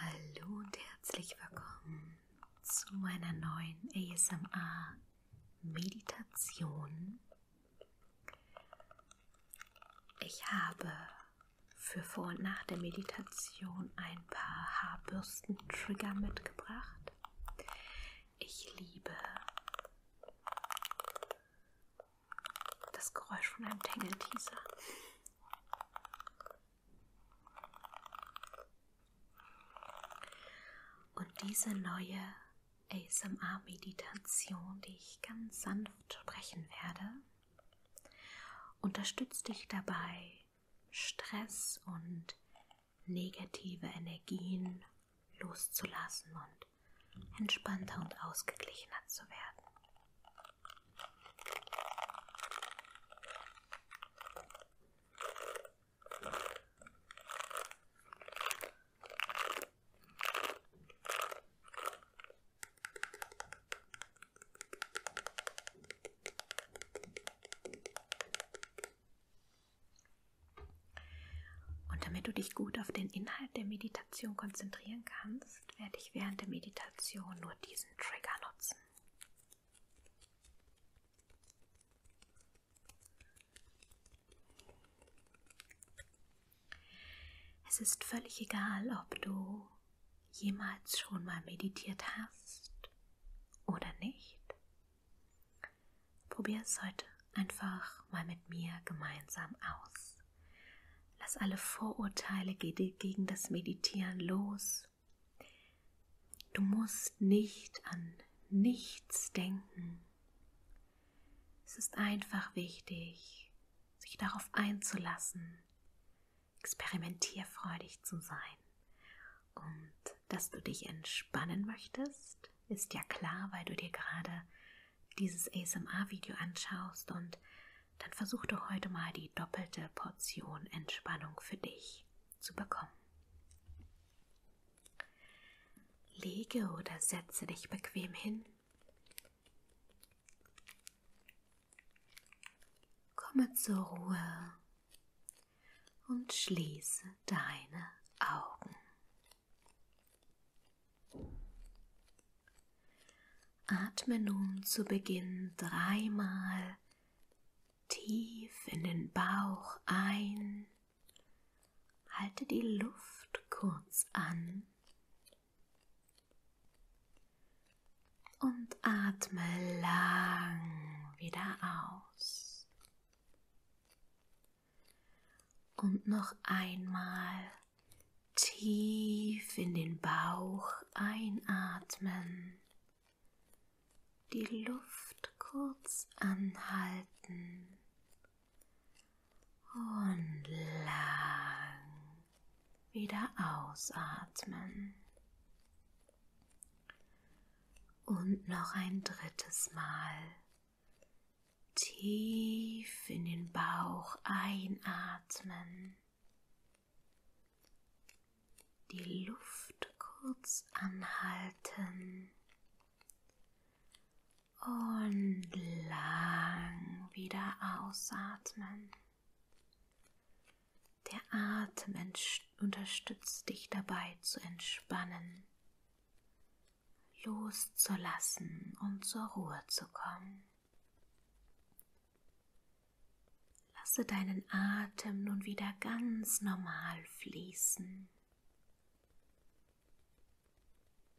Hallo und herzlich willkommen zu meiner neuen ASMR Meditation. Ich habe für vor und nach der Meditation ein paar Haarbürsten-Trigger mitgebracht. Ich liebe das Geräusch von einem Tangle-Teaser. Und diese neue ASMR-Meditation, die ich ganz sanft sprechen werde, unterstützt dich dabei, Stress und negative Energien loszulassen und entspannter und ausgeglichener zu werden. Und damit du dich gut auf den Inhalt der Meditation konzentrieren kannst, werde ich während der Meditation nur diesen Trigger nutzen. Es ist völlig egal, ob du jemals schon mal meditiert hast oder nicht. Probier es heute einfach mal mit mir gemeinsam aus. Lass alle Vorurteile gegen das Meditieren los Du musst nicht an nichts denken. Es ist einfach wichtig, sich darauf einzulassen, experimentierfreudig zu sein. Und dass du dich entspannen möchtest, ist ja klar, weil du dir gerade dieses ASMR-Video anschaust und dann versuch doch heute mal die doppelte Portion Entspannung für dich zu bekommen. Lege oder setze dich bequem hin. Komme zur Ruhe und schließe deine Augen. Atme nun zu Beginn dreimal tief in den Bauch ein, halte die Luft kurz an und atme lang wieder aus. Und noch einmal tief in den Bauch einatmen die Luft kurz anhalten und lang wieder ausatmen. Und noch ein drittes Mal tief in den Bauch einatmen die Luft kurz anhalten und lang wieder ausatmen. Der Atem unterstützt dich dabei zu entspannen, loszulassen und zur Ruhe zu kommen. Lasse deinen Atem nun wieder ganz normal fließen.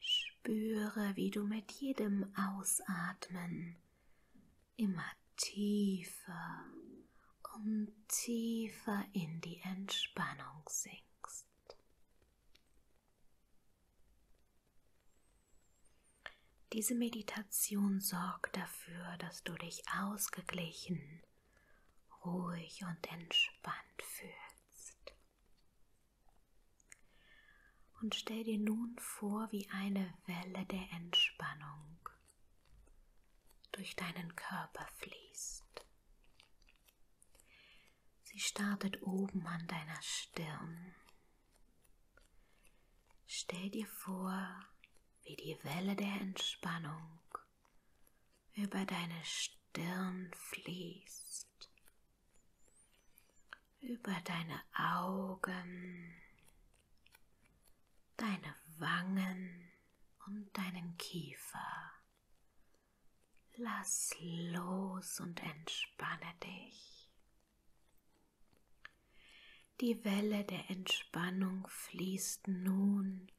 Spüre, wie du mit jedem Ausatmen immer tiefer und tiefer in die Entspannung sinkst. Diese Meditation sorgt dafür, dass du dich ausgeglichen, ruhig und entspannt fühlst. Und stell dir nun vor, wie eine Welle der Entspannung durch deinen Körper fließt. Sie startet oben an deiner Stirn. Stell dir vor, wie die Welle der Entspannung über deine Stirn fließt, über deine Augen, deine Wangen und deinen Kiefer. Lass los und entspanne dich. Die Welle der Entspannung fließt nun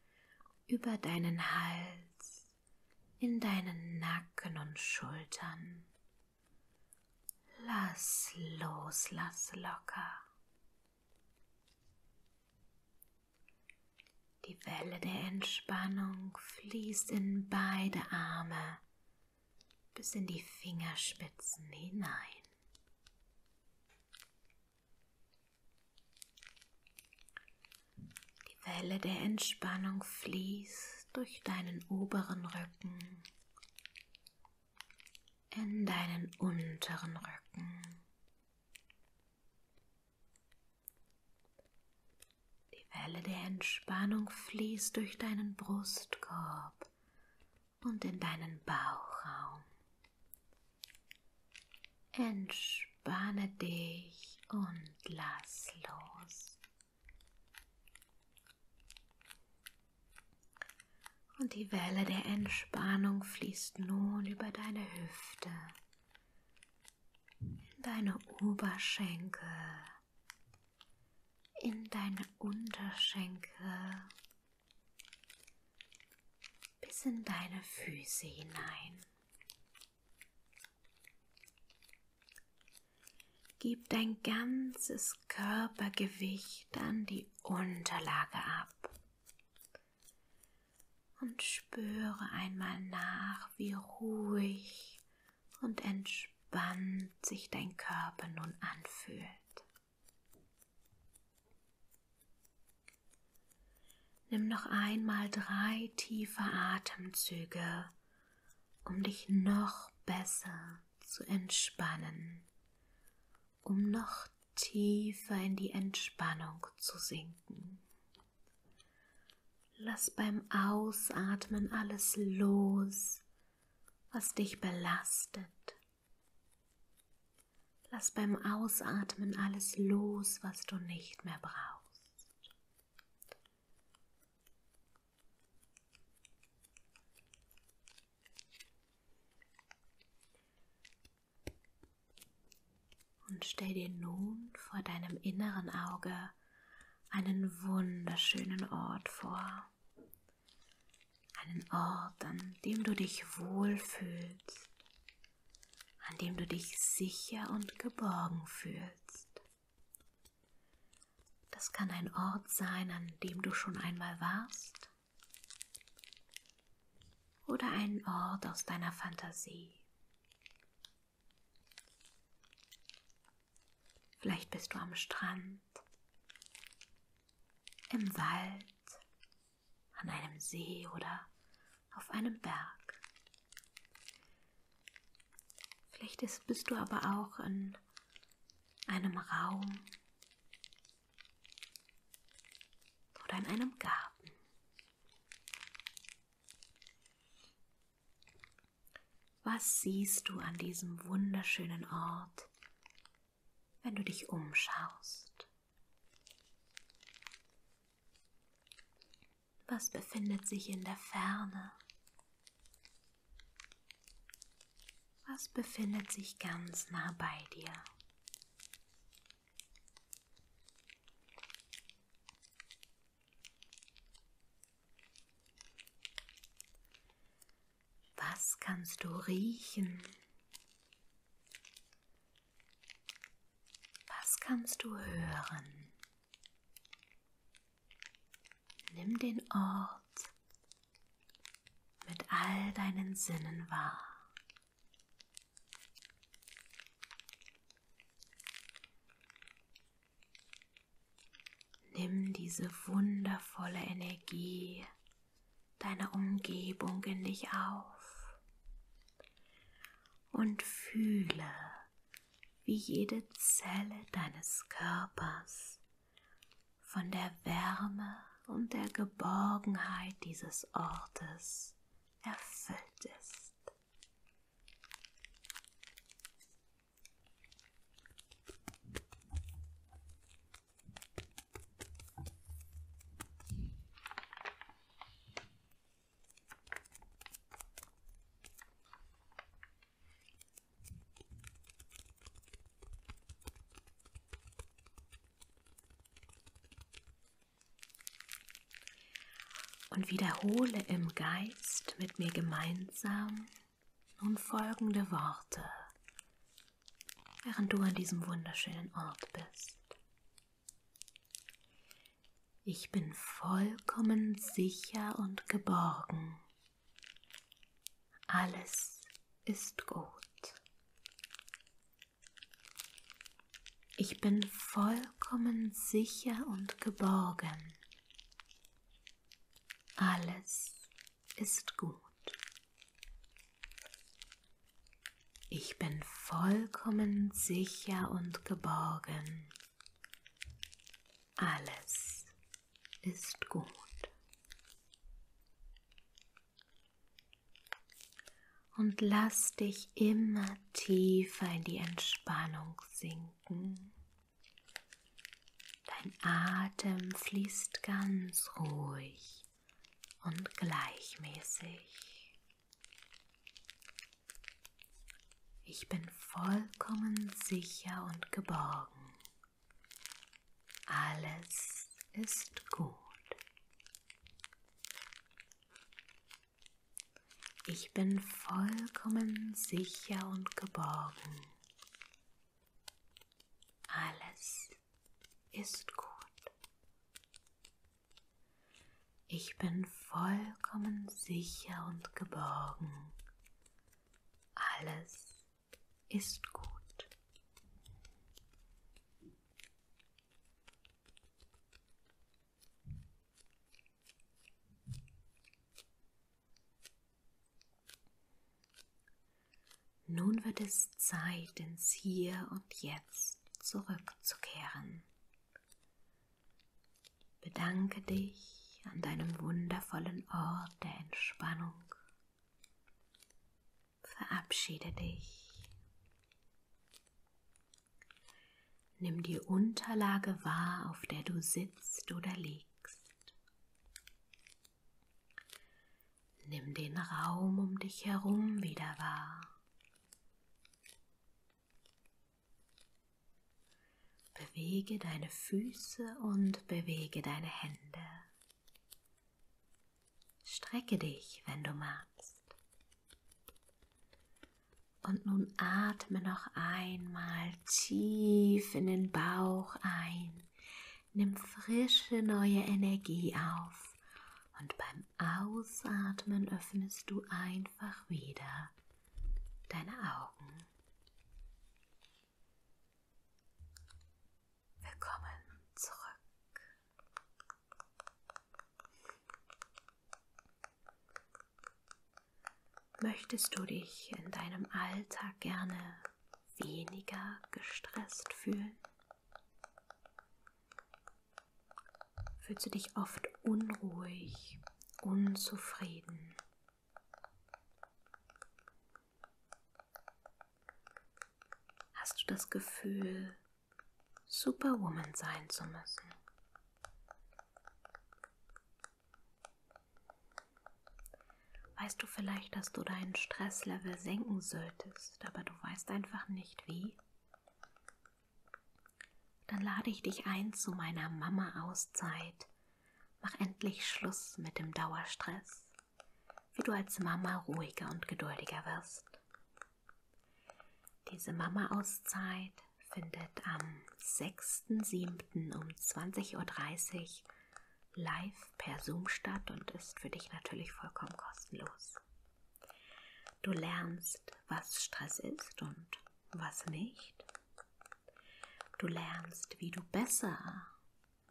über deinen Hals, in deinen Nacken und Schultern. Lass los, lass locker. Die Welle der Entspannung fließt in beide Arme bis in die Fingerspitzen hinein. Die Welle der Entspannung fließt durch deinen oberen Rücken in deinen unteren Rücken. Die Welle der Entspannung fließt durch deinen Brustkorb und in deinen Bauchraum. Entspanne dich und lass los. Und die Welle der Entspannung fließt nun über deine Hüfte, in deine Oberschenkel, in deine Unterschenkel bis in deine Füße hinein. Gib dein ganzes Körpergewicht an die Unterlage ab und spüre einmal nach, wie ruhig und entspannt sich dein Körper nun anfühlt. Nimm noch einmal drei tiefe Atemzüge, um dich noch besser zu entspannen, um noch tiefer in die Entspannung zu sinken. Lass beim Ausatmen alles los, was dich belastet Lass beim Ausatmen alles los, was du nicht mehr brauchst. Und stell dir nun vor deinem inneren Auge einen wunderschönen Ort vor, einen Ort, an dem du dich wohlfühlst, an dem du dich sicher und geborgen fühlst. Das kann ein Ort sein, an dem du schon einmal warst, oder ein Ort aus deiner Fantasie. Vielleicht bist du am Strand, im Wald an einem See oder auf einem Berg. Vielleicht ist, bist du aber auch in einem Raum oder in einem Garten. Was siehst du an diesem wunderschönen Ort wenn du dich umschaust. Was befindet sich in der Ferne? Was befindet sich ganz nah bei dir? Was kannst du riechen? Was kannst du hören? Nimm den Ort mit all deinen Sinnen wahr. Nimm diese wundervolle Energie deine Umgebung in dich auf und fühle, wie jede Zelle deines Körpers von der Wärme und der Geborgenheit dieses Ortes erfüllt ist. Und wiederhole im Geist mit mir gemeinsam nun folgende Worte während du an diesem wunderschönen Ort bist. Ich bin vollkommen sicher und geborgen. Alles ist gut. Ich bin vollkommen sicher und geborgen. Alles ist gut. Ich bin vollkommen sicher und geborgen. Alles ist gut. Und lass dich immer tiefer in die Entspannung sinken. Dein Atem fließt ganz ruhig und gleichmäßig. Ich bin vollkommen sicher und geborgen. Alles ist gut. Ich bin vollkommen sicher und geborgen. Alles ist gut. Ich bin vollkommen sicher und geborgen. Alles ist gut. Nun wird es Zeit, ins Hier und Jetzt zurückzukehren. Bedanke dich an deinem wundervollen Ort der Entspannung. Verabschiede dich. Nimm die Unterlage wahr, auf der du sitzt oder liegst. Nimm den Raum um dich herum wieder wahr. Bewege deine Füße und bewege deine Hände. Strecke dich, wenn du magst. Und nun atme noch einmal tief in den Bauch ein. Nimm frische neue Energie auf. Und beim Ausatmen öffnest du einfach wieder deine Augen. Willkommen zurück. Möchtest du dich in deinem Alltag gerne weniger gestresst fühlen? fühlst du dich oft unruhig, unzufrieden. Hast du das Gefühl, Superwoman sein zu müssen? Weißt du vielleicht, dass du deinen Stresslevel senken solltest, aber du weißt einfach nicht wie? Dann lade ich dich ein zu meiner Mama-Auszeit. Mach endlich Schluss mit dem Dauerstress, wie du als Mama ruhiger und geduldiger wirst. Diese Mama-Auszeit findet am 6.7. um 20.30 Uhr live per Zoom statt und ist für dich natürlich vollkommen kostenlos. Du lernst, was Stress ist und was nicht. Du lernst, wie du besser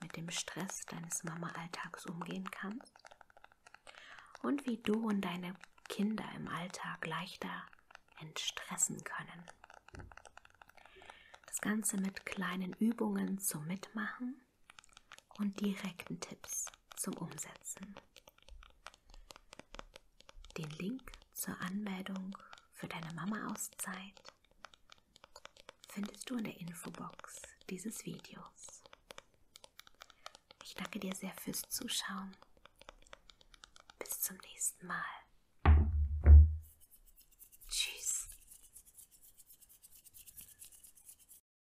mit dem Stress deines Mama-Alltags umgehen kannst und wie du und deine Kinder im Alltag leichter entstressen können. Das Ganze mit kleinen Übungen zum Mitmachen und direkten Tipps zum Umsetzen. Den Link zur Anmeldung für deine Mama-Auszeit findest du in der Infobox dieses Videos. Ich danke dir sehr fürs Zuschauen. Bis zum nächsten Mal.